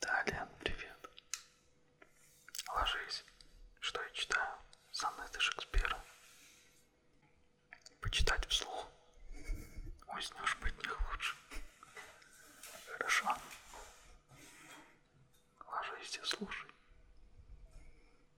Да, Лен, привет. Ложись. Что я читаю? Сонеты Шекспира. Почитать вслух. Уснешь быть не лучше. Хорошо. Ложись и слушай.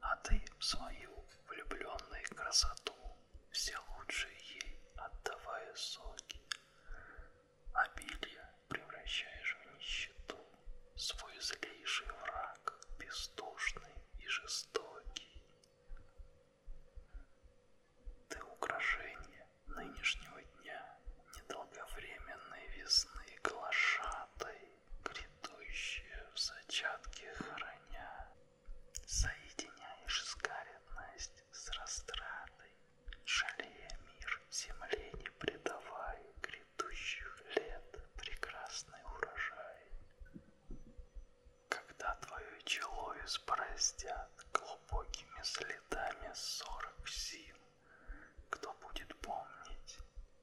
а ты в свою влюбленную красоту все лучшие ей отдавая соки. Обилье превращаешь в нищету, свой злейший враг, бездушный и жестокий. Ты украшение нынешнего дня, недолговременной весны глашатой грядущее в зачатке храня. Соединяешь скаренность с растратой, жалея мир земле не предавай грядущих лет прекрасный урожай. Когда твое чело испоростят глубокими следами сорок зим, кто будет помнить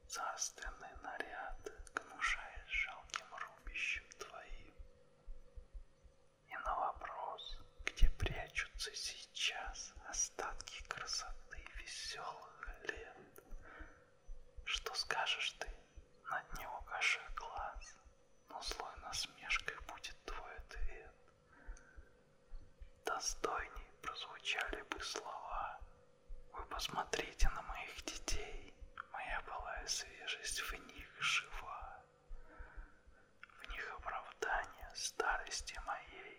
царственный наряд, гнушаясь жалким рубищем твоим? И на вопрос, где прячутся сейчас остатки красоты веселых лет, что скажешь ты, над не укажи глаз, но злой насмешкой будет твой ответ. Достойней прозвучали бы слова, вы посмотрите на моих детей. Моя былая свежесть в них жива. В них оправдание старости моей.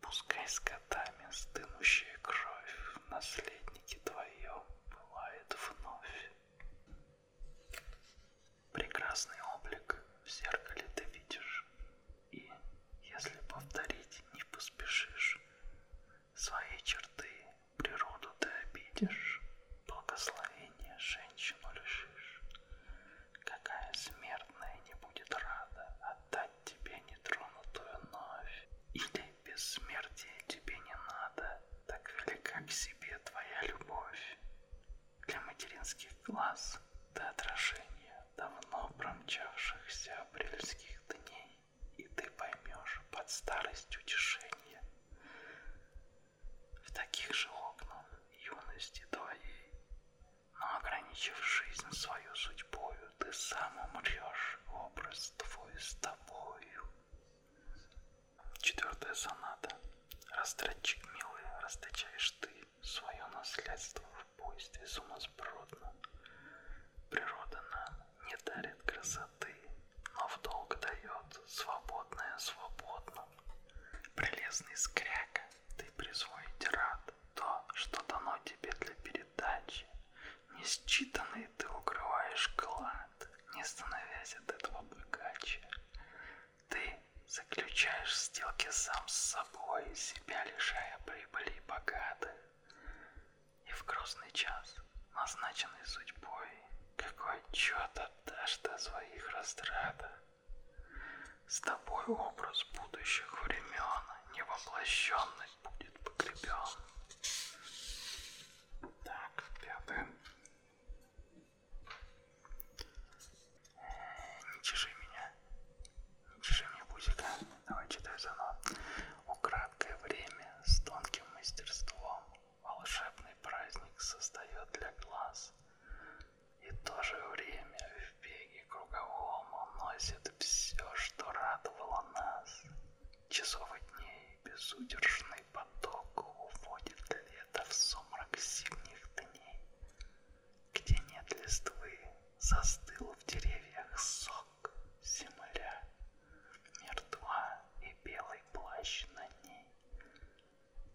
Пускай с котами стынущая кровь в наследнике твоем пылает вновь. Прекрасный облик в зеркале ты видишь, и если повторить не поспешишь, свои черты природу ты обидишь, благословение женщину лишишь. Какая смертная не будет рада отдать тебе нетронутую новь, или бессмертие тебе не надо, так велика к себе твоя любовь. Для материнских глаз ты отражение давно промчавшихся апрельских дней, и ты поймешь под старость утешение. В таких же окнах юности твоей, но ограничив жизнь свою судьбою, ты сам умрешь, образ твой с тобою. Четвертая соната. Растратчик милый, расточаешь ты свое наследство буйстве сумасбродно. Природа нам не дарит красоты, но в долг дает свободное свободно. Прелестный скряка, ты присвоить рад то, что дано тебе для передачи. Несчитанный ты укрываешь клад, не становясь от этого богаче. Ты заключаешь сделки сам с собой, себя лишая прибыли богатых. И в грустный час, назначенный судьбой, какой отчет отдашь до своих растратах? С тобой образ будущих времен невоплощенный будет погребен. Так, пятое. Э, не чеши меня, Чеши мне пузика. Давай читай заново. У краткое время с тонким мастерством волшебный праздник создает для глаз. И то же время в беге круговом уносит все, что радовало нас. Часов и дней безудержный поток уводит лето в сумрак зимних дней, где нет листвы, Застыл в деревьях сок, земля, Мертва и белый плащ на ней.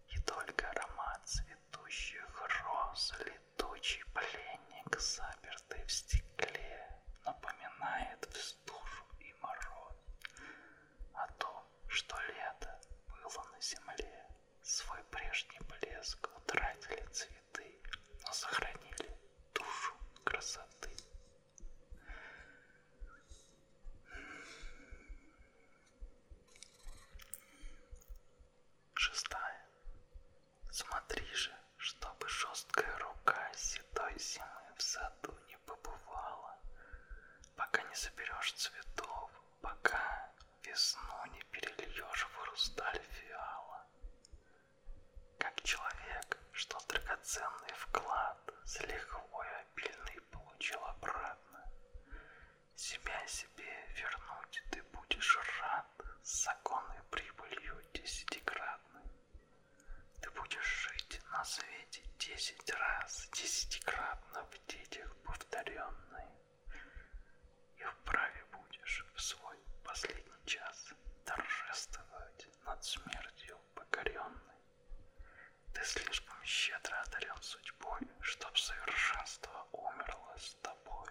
И только аромат цветущих роз Летучий пленник, запертый в стекле, Напоминает вздушу и мороз О том, что лето было на земле, Свой прежний блеск утратили цвет цветы, но сохранили душу красоты. Шестая. Смотри же, чтобы жесткая рука седой зимы в саду не побывала, пока не соберешь цветов, пока весну не перельешь в хрусталь фиала как человек, что драгоценный вклад с лихвой обильный получил обратно. Себя себе вернуть ты будешь рад с законной прибылью десятикратной. Ты будешь жить на свете десять раз, десятикратно в детях повторенной и вправе будешь в свой последний час торжествовать над смертью покоренной. Ты слишком щедро одарен судьбой, чтоб совершенство умерло с тобой.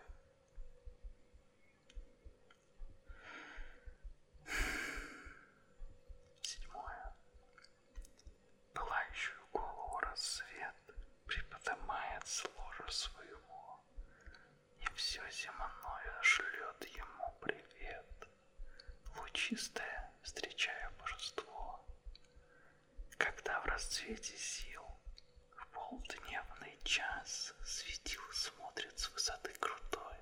Седьмое. Пылающую голову рассвет приподнимает с ложа своего, и все земное шлет ему привет. Лучистое встречая божество. Когда в расцвете сил в полдневный час светил смотрит с высоты крутой,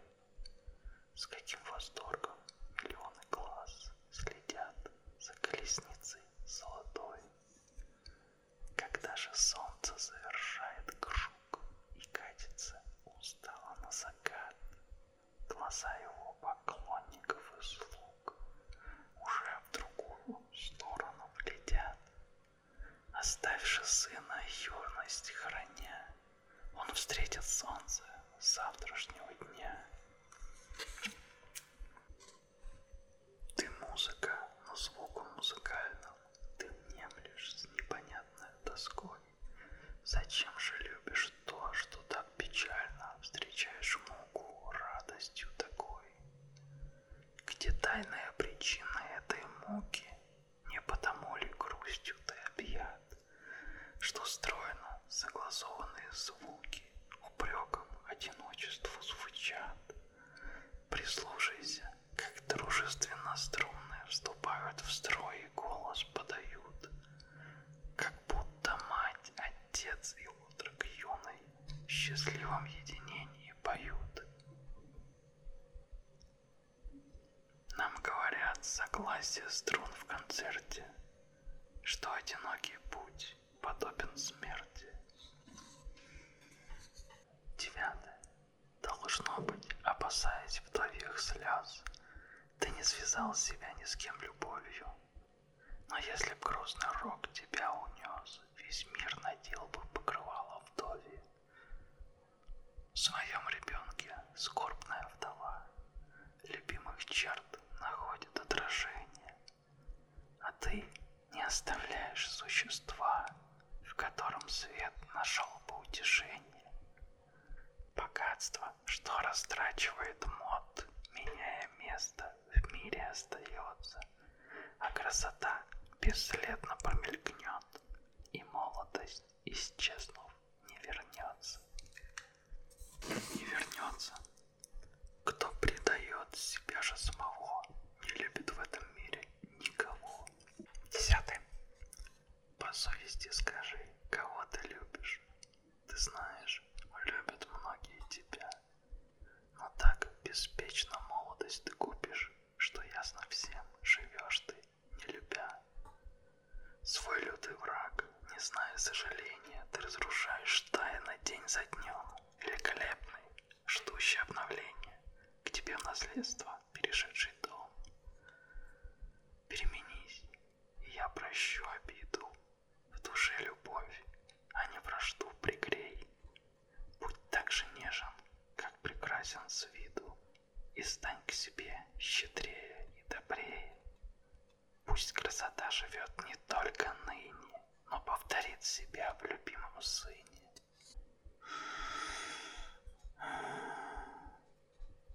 с каким восторгом миллионы глаз следят за колесницей золотой. Когда же солнце завершает круг и катится устало на закат, глаза его поклонников и слуг уже в другую сторону глядят. Оставши сына юность храня, он встретит солнце завтрашнего дня. Ты музыка, но звуком музыкальным ты внемлешь с непонятной тоской. Зачем же любишь то, что так печально встречаешь муку радостью такой? Где тайная причина этой муки? Не потому ли грустью ты объят, что стройно согласованные звуки упреком одиночеству звучат? Прислушайся, как дружественно струнные вступают в строй и голос подают, как будто мать, отец и отрок юный в счастливом единении поют. Нам говорят согласие струн в концерте, что одинокий путь подобен смерти. Девятое. Должно быть, опасаясь вдовьих слез, ты не связал себя ни с кем любовью. Но если б грозный рок тебя унес, весь мир надел бы покрывало вдове. В своем ребенке скорбная вдова любимых черт находит отражение, а ты не оставляешь существа, в котором свет нашел бы утешение. Богатство, что растрачивает мод, меняя место, в мире остается, а красота бесследно промелькнет, и молодость, исчезнув, не вернется. Не вернется. Кто предает себя же самого, не любит в этом мире никому. Десятый. По совести скажи, кого ты любишь. Ты знаешь, любят многие тебя. Но так беспечно молодость ты купишь, что ясно всем живешь ты, не любя. Свой лютый враг, не зная сожаления, ты разрушаешь тайно день за днем. Великолепный, ждущий обновления, к тебе в наследство перешедший дом. Переменись, и я прощу обиду, в душе любовь, а не вражду пригрей. Будь так же нежен, как прекрасен с виду, и стань к себе щедрее и добрее. Пусть красота живет не только ныне, но повторит себя в любимом сыне.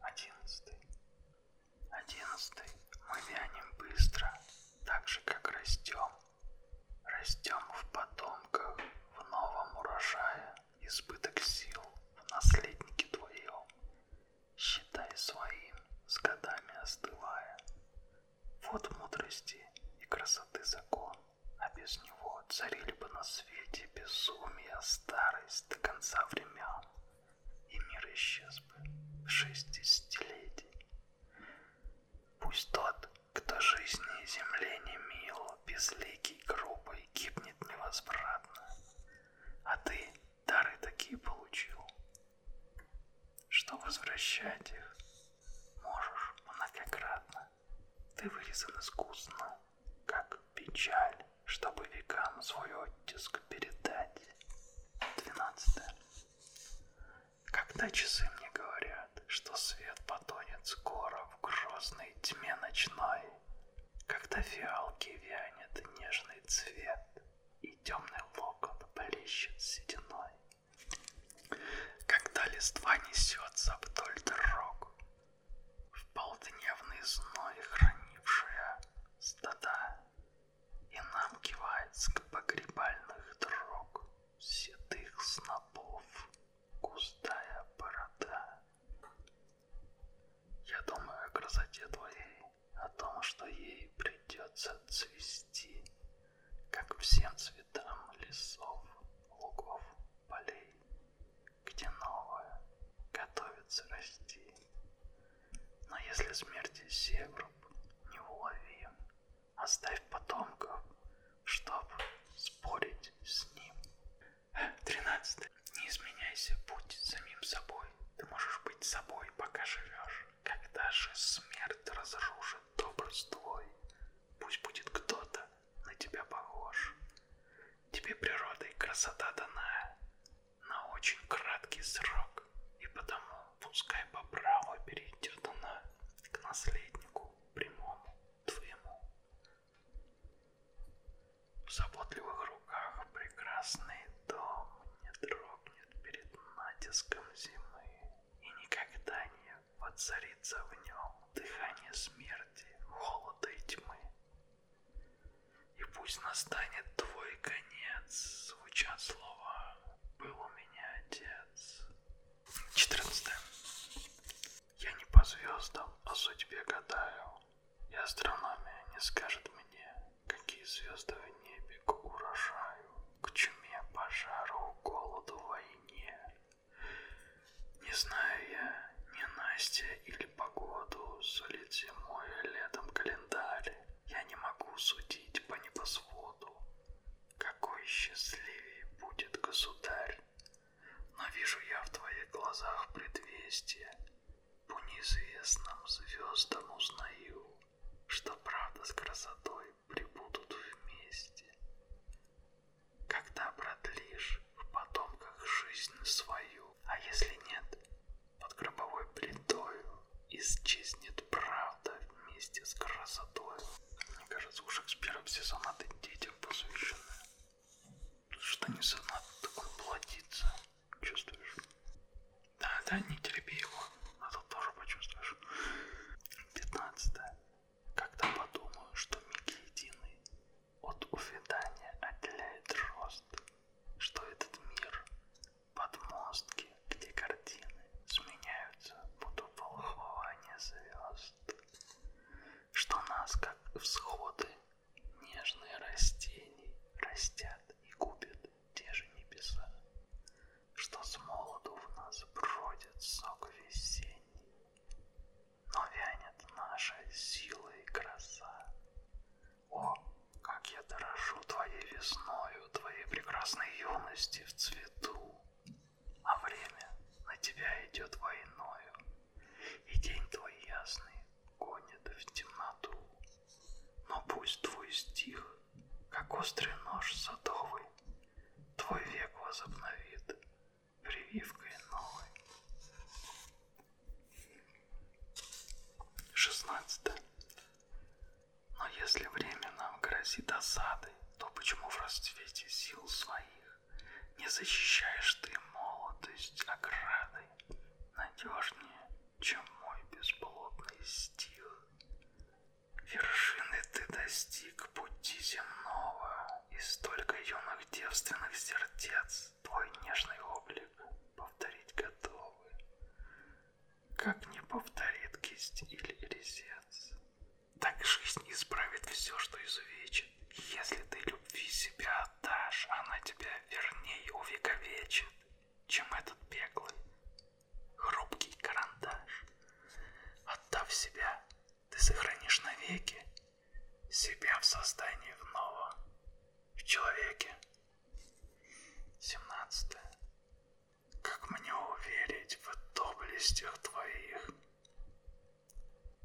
Одиннадцатый. Одиннадцатый. Мы вянем быстро, так же, как растем. Растем в потомках, в новом урожае, избыток сил в наследнике твоем. Считай своим, с годами остывая. Вот мудрости и красоты закон а без него царили бы на свете безумие, старость до конца времен, и мир исчез бы в шестидесятилетий. Пусть тот, кто жизни и земле не мил, безликий, грубый, гибнет невозвратно, а ты дары такие получил, что возвращать их Можешь многократно. Ты вырезан искусно, как печаль, чтобы векам свой оттиск передать. Двенадцатое. Когда часы мне говорят, что свет потонет скоро в грозной тьме ночной, когда фиалки вянет нежный цвет и темный локон блещет сединой, когда листва несется вдоль дорог, В полдневный зной хранившая стада, И нам кивает к погребальных дорог Седых снопов густая борода. Я думаю о красоте твоей, О том, что ей придется цвести, расти, как всем цветам лесов, лугов, полей, где новое готовится расти. Но если смерти севруб не уловим, оставь потомков, чтоб спорить с ним. Тринадцатое. Не изменяйся, будь самим собой. Ты можешь быть собой, пока живешь. Когда же смерть разрушит образ твой, Пусть будет кто-то на тебя похож. Тебе природа и красота дана на очень краткий срок, и потому пускай по праву перейдет она к наследнику прямому твоему. В заботливых руках прекрасный дом не дрогнет перед натиском зимы и никогда не воцарится в нем дыхание смерти, холода и тьмы. И пусть настанет твой конец, звучат слова «Был у меня отец». 14. Я не по звездам о а судьбе гадаю, и астрономия не скажет мне, какие звезды в небе к урожаю, к чуме, пожару, голоду, войне войне. Не знаю я ни Настя или погоду, сулит зимой и летом календарь. Я не могу судить по небосводу, какой счастливее будет государь. Но вижу я в твоих глазах предвестие, по неизвестным звездам узнаю, что правда с красотой тобой прибудут вместе. Когда продлишь в потомках жизнь свою, а если нет, под гробовой плитою исчезнет правда вместе с красотой. Мне кажется, у Шекспира все сонаты детям посвящены. Что не сонат, так он плодится. Чувствуешь? Да, да, не терпи его, а то тоже почувствуешь. Пятнадцатое. Когда подумаю, что миг единый от увядания отделяет рост, что этот мир подмостки, где картины сменяются под уполхование звезд, что нас, как всходы, нежные растений растят и губят те же небеса что с молоду в нас бродит сок весенний, но вянет наша сила и краса. О, как я дорожу твоей весною, твоей прекрасной юности в цвету, а время на тебя идет войною, и день твой ясный гонит в темноту. Но пусть твой стих, как острый нож садовый, твой век возобновит прививкой новой. 16. Но если время нам грозит осадой, то почему в расцвете сил своих не защищаешь ты молодость оградой надежнее, чем мой бесплодный стих? Вершины ты достиг пути земного, и столько юных девственных сердец твой нежный облик повторить готовы, как не повторит кисть или резец. Так жизнь исправит все, что изувечит. Если ты любви себя отдашь, она тебя верней увековечит, чем этот беглый, хрупкий карандаш. Отдав себя, ты сохранишь навеки себя в создании вновь в человеке. 17. Как мне уверить в доблестях твоих,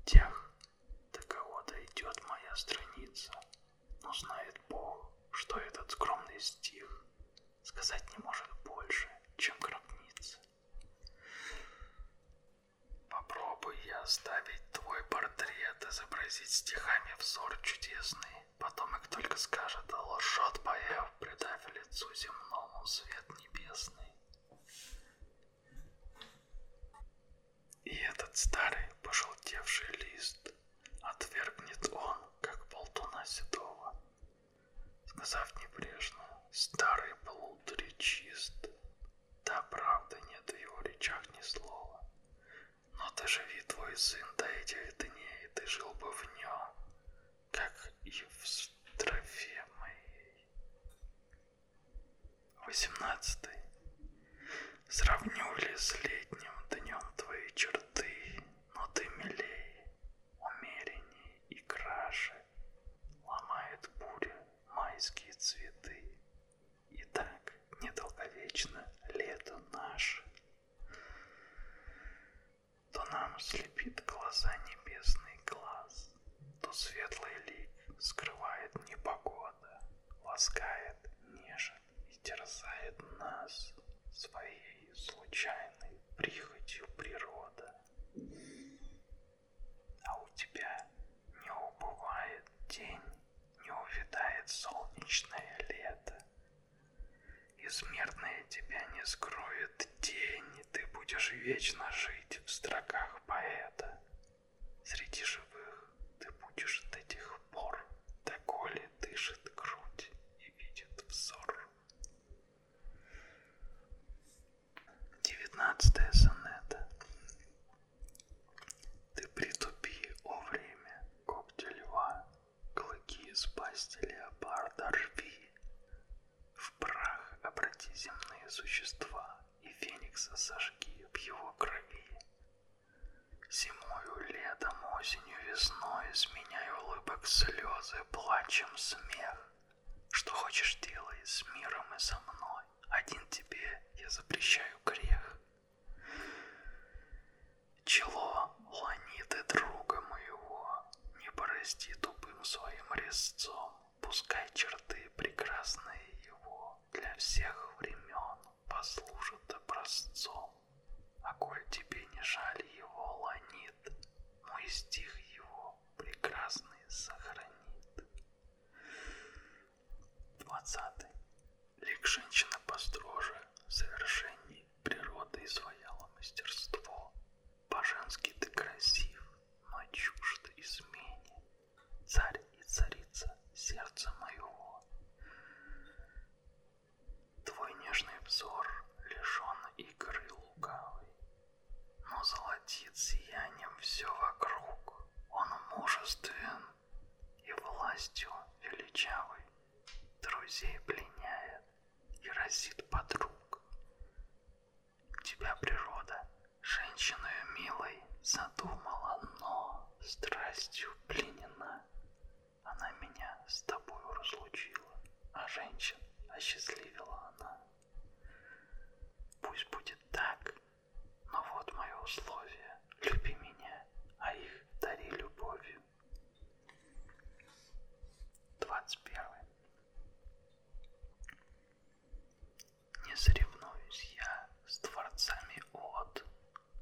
тех, до кого дойдет моя страница, но знает Бог, что этот скромный стих сказать не может больше, чем гробница. Попробуй я оставить твой портрет, изобразить стихами взор чудесный. Потомок только скажет, лжет поев, придав лицу земному свет небесный. И этот старый пожелтевший лист отвергнет он, как болтуна седого сказав небрежно, старый блуд речист. Да, правда, нет в его речах ни слова. Но ты живи, твой сын, до этих дней, ты жил бы в нем, как и в строфе моей. Восемнадцатый. Сравню ли с летним днем твои черты, но ты милей, умеренней и краше. Ломает буря майские цветы. И так недолговечно лето наше. То нам слепит глаза небесный глаз, То светлый лик скрывает непогода, Ласкает, нежит и терзает нас Своей случайной прихотью природа. А у тебя не убывает день, не увядает солнечное лето. Измерное тебя не скроет день, и ты будешь вечно жить в строках поэта. Среди живых ты будешь до тех пор, доколе дышит грудь и видит взор. Девятнадцатая сонета. Ты притупи, о время, когти льва, клыки из пасти леопарда рви. В прах обрати земные существа и феникса сожги в его крови. Зимою, летом, осенью, осенью, весной, сменяй улыбок слезы, плачем смех. Что хочешь делай с миром и со мной, один тебе я запрещаю грех. Чело ланиты друга моего, не порасти тупым своим резцом, пускай черты прекрасные его для всех времен послужат образцом а коль тебе не жаль его ланит, мой стих его прекрасный сохранит. Двадцатый. Лик женщина построже, в совершении природы изваяла мастерство. По-женски ты красив, но чужд измене. Царь и царица сердца моего. Твой нежный взор лишен игры лукавой, но золотит сиянием все вокруг. Он мужествен и властью величавой друзей пленяет и разит подруг. Тебя природа женщиною милой задумала, но страстью пленена. Она меня с тобою разлучила, а женщин осчастливила она. Пусть будет так, но вот мое условие. Люби меня, а их дари любовью. 21. Не соревнуюсь я с дворцами от,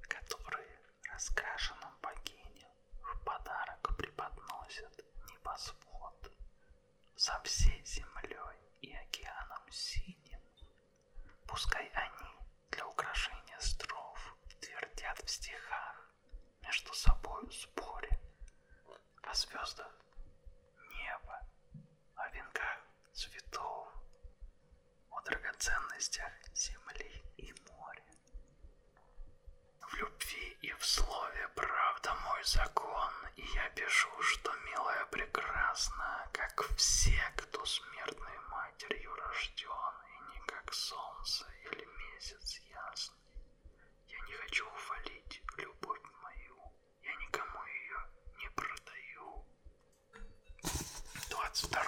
которые раскрашены богиням в подарок преподносят небосвод со всей землей и океаном синим. Пускай они для украшения стров твердят в стихах между собой в споре о звездах неба, о венках цветов, о драгоценностях земли и моря. В любви и в слове правда мой закон, и я пишу, что милая прекрасна, как все, кто смертной матерью рожден, и не как солнце или месяц ясный. Я не хочу увалить любовь мою, я никому ее не продаю. 22.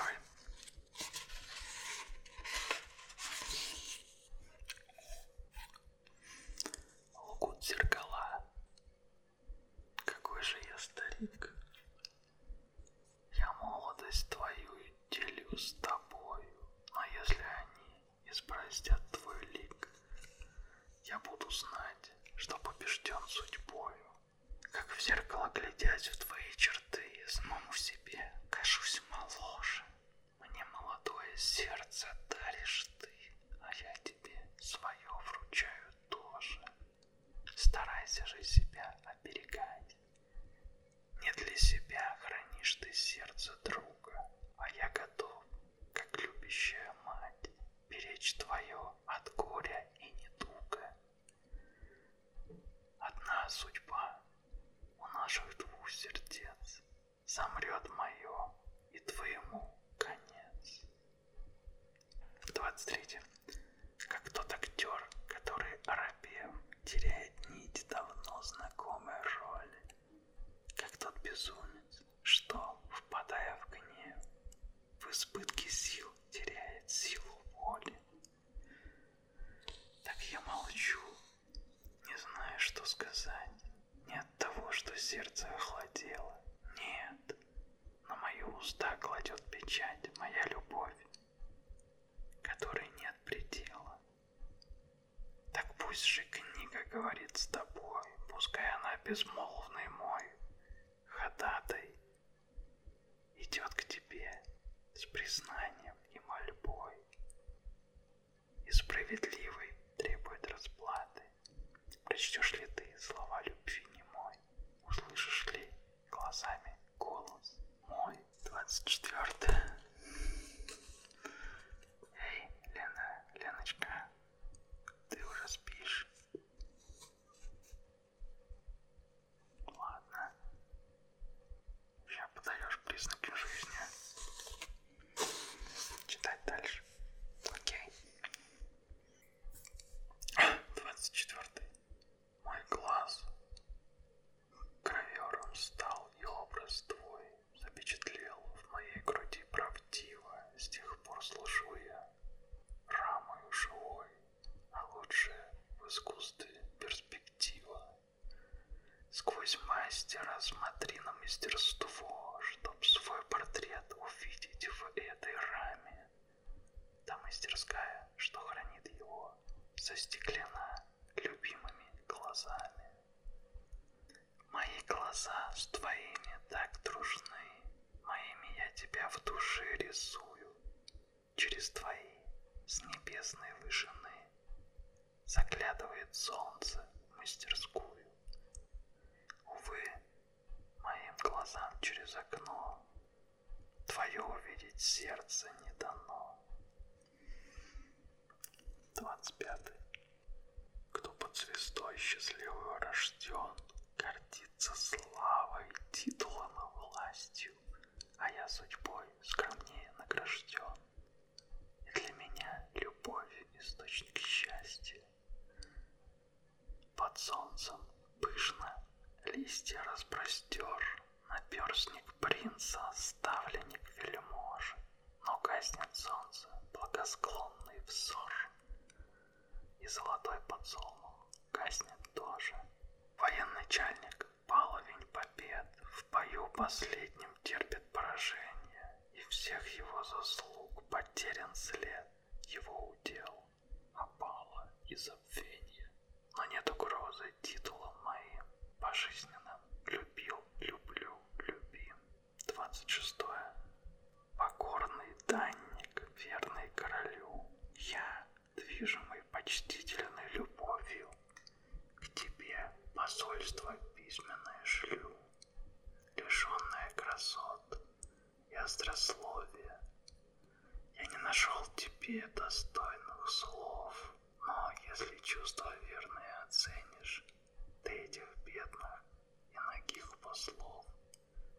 Лгут зеркала. Какой же я старик. Я молодость твою делю с тобою, но если они избрастят твой лик, я буду знать, что побежден судьбою. Как в зеркало глядясь в твои черты, самому себе кажусь моложе. Мне молодое сердце даришь ты, а я тебе свое вручаю тоже. Старайся же себя оберегать. Не для себя хранишь ты сердце друга, а я готов, как любящая мать, беречь твое от горя и недуга. Одна судьба у наших двух сердец замрет мое и твоему конец. 23. Как тот актер, который оробев, теряет нить давно знакомой роли, как тот безумец, что, впадая в гнев, в избытке сил теряет силу воли, так я молчу, не знаю, что сказать. Не от того, что сердце охладело. Нет, на мои уста кладет печать моя любовь, которой нет предела. Так пусть же книга говорит с тобой, пускай она безмолвный мой, ходатай, идет к тебе с признанием страданием и мольбой. И справедливый требует расплаты. Прочтешь ли ты слова любви немой? Услышишь ли глазами голос мой? 24. Эй, Лена, Леночка, ты уже спишь? Ладно. Сейчас подаешь признаки жизни. Читать дальше. Окей. 24. Мой глаз. Гравером стал и образ твой запечатлел в моей груди правдиво. С тех пор служу я рамою живой, а лучше в искусстве перспектива. Сквозь мастера смотри на мастерство, чтоб свой портрет увидеть в этой раме. Та мастерская, что хранит его, застеклена любимыми глазами. Мои глаза с твоими так дружны, моими я тебя в душе рисую через твои с небесной вышины заглядывает солнце в мастерскую. Увы, моим глазам через окно твое увидеть сердце не дано. 25. Кто под звездой счастливую рожден, гордится славой, титулом и властью, а я судьбой скромнее награжден. И для меня любовь — источник счастья. Под солнцем пышно листья распростер, Наперстник принца, ставленник вельможи, Но гаснет солнце благосклонный взор, И золотой подсолнух гаснет тоже. Военачальник человек, баловень побед, в бою последнем терпит поражение, и всех его заслуг потерян след, его удел, опала и забвенье. Но нет угрозы титулом моим, пожизненным, любил, люблю, любим. 26. Покорный данник, верный королю, я — движимый почтительной любовью, к тебе посольство письменное шлю, лишенное красот и острословия. Я не нашел тебе достойных слов, но если чувства верные оценишь, ты этих бедных и ногих послов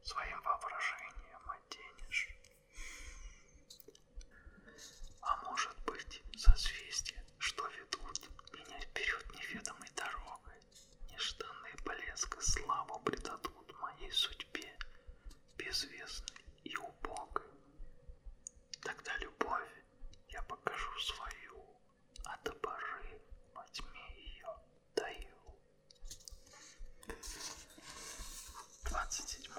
своим воображением оденешь. А может быть, созвездие, что ведут меня вперед неведомой дорогой, нежданные блеск и славу придадут моей судьбе, безвестной и убогой. Тогда любовь я покажу свою, а до поры во тьме ее даю. 27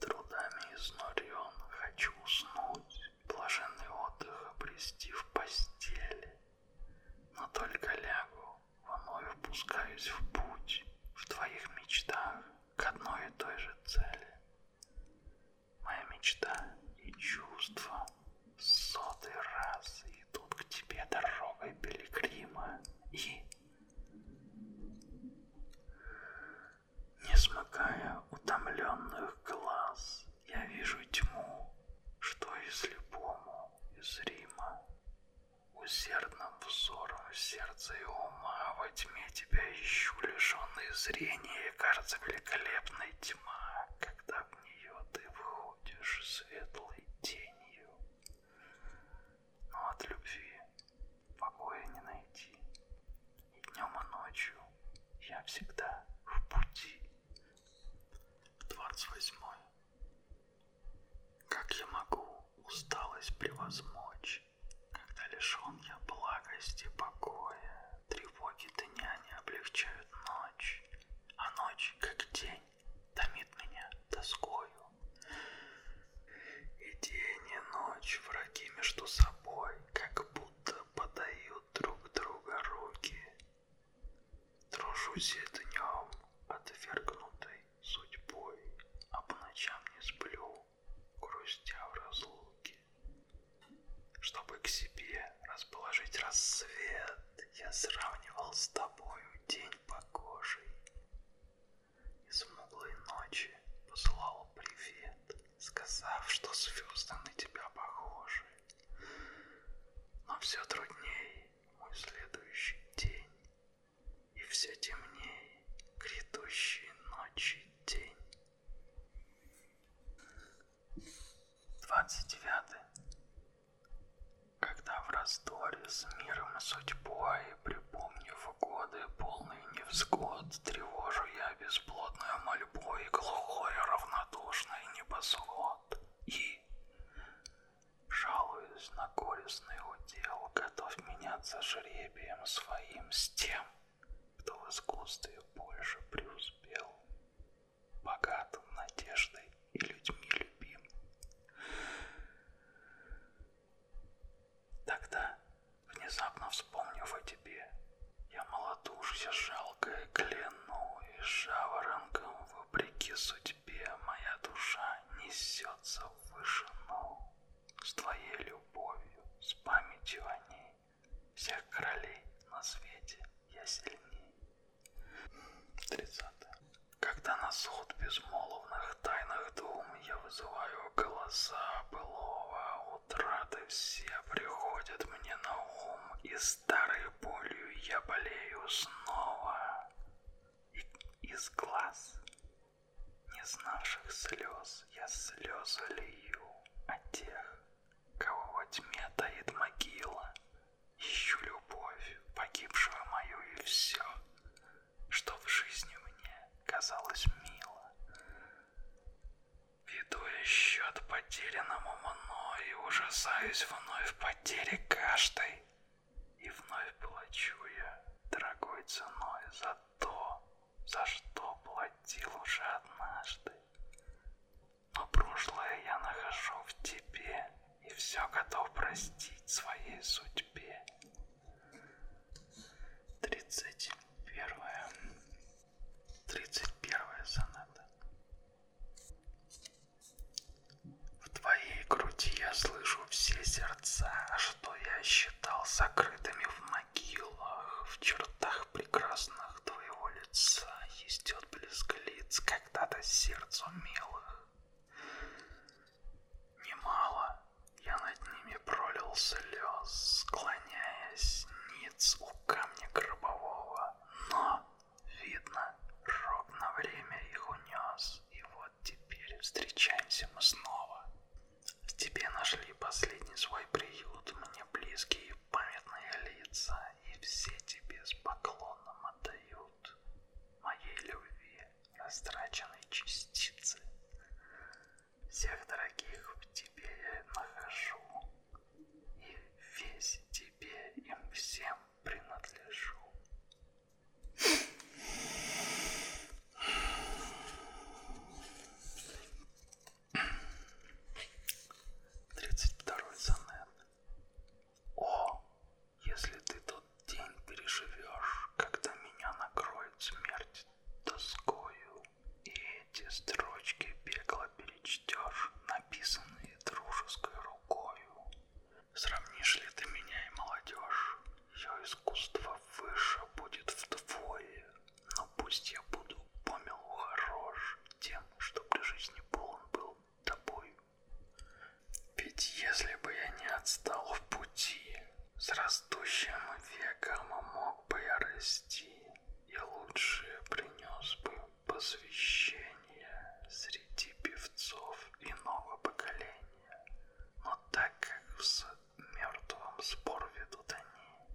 Трудами изнурен, хочу уснуть, блаженный отдых обрести в постели. Но только лягу, вновь впускаюсь в путь, в твоих мечтах к одной и той же цели. Моя мечта и чувства в сотый раз идут к тебе дорогой пилигрима и не смыкая утомленных глаз, я вижу тьму, что и слепому, и зримо. Усердным взором сердца и ума а во тьме тебя ищу, лишенный зрения, и кажется великолепной тьма, когда в нее ты входишь светлой тенью. Но от любви покоя не найти. И днем, и ночью я всегда в пути. 28. Как я могу усталость превозмочь, когда лишен я благости покоя, тревоги дня не облегчают ночь, а ночь, как день, томит меня тоскою. И день и ночь враги между собой, как будто подают друг друга руки. Дружусь я днем, отвергнутой судьбой, а по ночам не сплю, грустя в разлуке. Чтобы к себе расположить рассвет, я сравнивал с тобою день погожий из мглы ночи послал привет, сказав, что звезды на тебя похожи. Но все труднее мой следующий день, и все темнее грядущие ночи день. 29. Когда в раздоре с миром и судьбой припомнив годы, полные невзгод, тревожу я бесплодную мольбу и глухой, равнодушный небосход. И, жалуюсь на горестный удел, готов меняться жребием своим с тем, кто в искусстве больше преуспел, богатым надеждой и людьми любим. Тогда, внезапно вспомнив о тебе, я малодушься жалкое кляну, и жаворонком, вопреки судьбе, моя душа несется в вышину. С твоей любовью, с памятью о ней, всех королей на свете я сильней. 30. Когда на суд безмолвных своих тайных дум я вызываю голоса былого, утраты все приходят мне на ум, и старой болью я болею снова. И из глаз, не знавших слез, я слезы лью о тех, кого во тьме таит могила. Ищу любовь, погибшую мою и все, что в жизни мне казалось мило. Веду я счет потерянному мной и ужасаюсь вновь потери каждой. И вновь плачу я дорогой ценой за то, за что платил уже однажды. Но прошлое я нахожу в тебе и все готов простить своей судьбе. Тридцать первая. Тридцать первая соната. В твоей груди я слышу все сердца, а что я считал закрытыми в могилах, в чертах прекрасных твоего лица истет блеск лиц когда-то сердцу милых. Немало я над ними пролил слез, склоняясь ниц у камня гробового. Но, видно, рок на время их унес, и вот теперь встречаемся мы снова. В тебе нашли последний свой приют, мне близкие и памятные лица, и все тебе с поклоном отдают моей любви растраченной частицы. Всех дорогих в тебе я нахожу, и весь тебе им всем принадлежу. Тридцать второй сонет. О, если ты тот день переживешь, когда меня накроет смерть тоскою, и эти строчки бегло перечтешь, написанные дружеской рукою, сравнишь ли ты меня и молодежь, ее искусство выше будет вдвое, но пусть я буду помилу хорош тем, что при жизни полон был тобой. Ведь если бы я не отстал в пути, с растущим веком мог бы я расти, и лучше принес бы посвящение среди певцов иного поколения. Но так как в мертвом спор ведут они,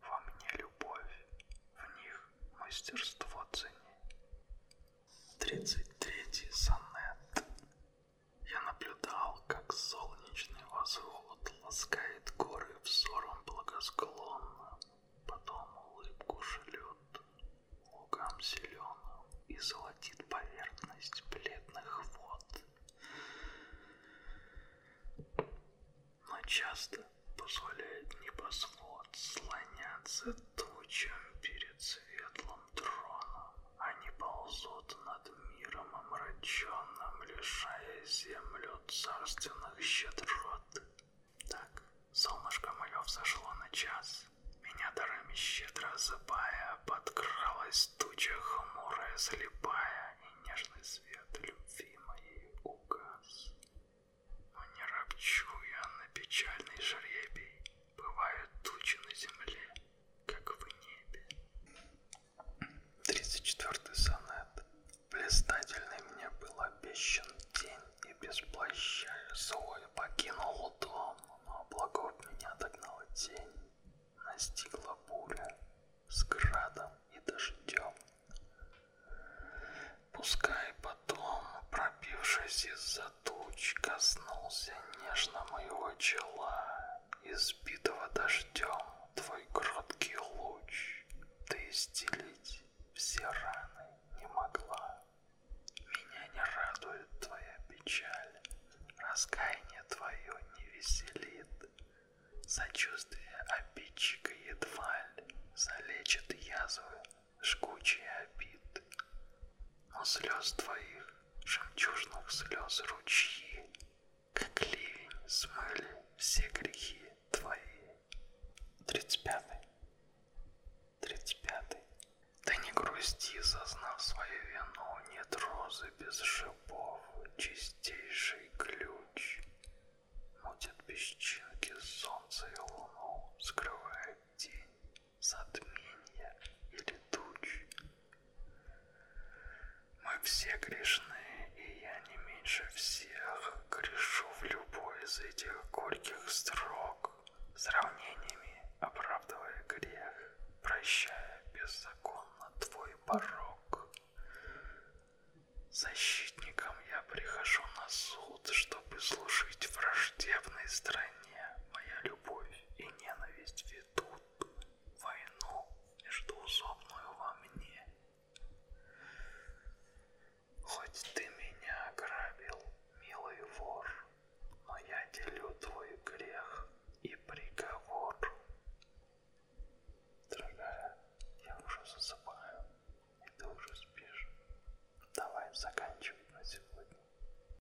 во мне любовь, в них мастерство цени. 33 сонет я наблюдал, как солнечный возвод ласкает горы взором благосклонно, потом улыбку шлет лугам зеленым и золотит поверхность бледных вод. Но часто позволяет небосвод слоняться тучам перед светлым трона. Они ползут над миром омраченным, лишая землю царственных щедрот. Так, солнышко мое взошло на час. Меня дарами щедро осыпая, подкралась туча хмурая, слепая, и нежный свет любви моей угас. Но не ропчу я на печальный жребий, бывают тучи на земле, как в небе. 34 сонет. Блистательный мне был обещан день, и без плаща злой покинул дом, но облаков меня догнала тень. Настигла буря с градом и дождем. Пускай потом, пробившись из-за туч коснулся нежно моего чела, избитого дождем твой кроткий луч, ты исцелить все раны не могла. Меня не радует твоя печаль, раскаяние твое не веселит, сочувствие обидчика едва ли залечит язвы жгучие обид, но слез твоих жемчужных слез ручьи, как ливень смыли все грехи твои. Тридцать пятый. Тридцать пятый. Ты не грусти, зазнав свою вину, нет розы без шипов, чистейший ключ. Мутит песчинки солнце и луну, скрывает тень затмения или туч. Мы все грешны, и я не меньше всех грешу в любой из этих горьких строк, сравнениями оправдывая грех, прощая беззаконно твой порог. Защитником я прихожу на суд, чтобы служить враждебной стране. Моя любовь любовь и ненависть ведут войну междуусобную во мне. Хоть ты меня ограбил, милый вор, но я делю твой грех и приговор. Дорогая, я уже засыпаю, и ты уже спишь. Давай заканчивай на сегодня.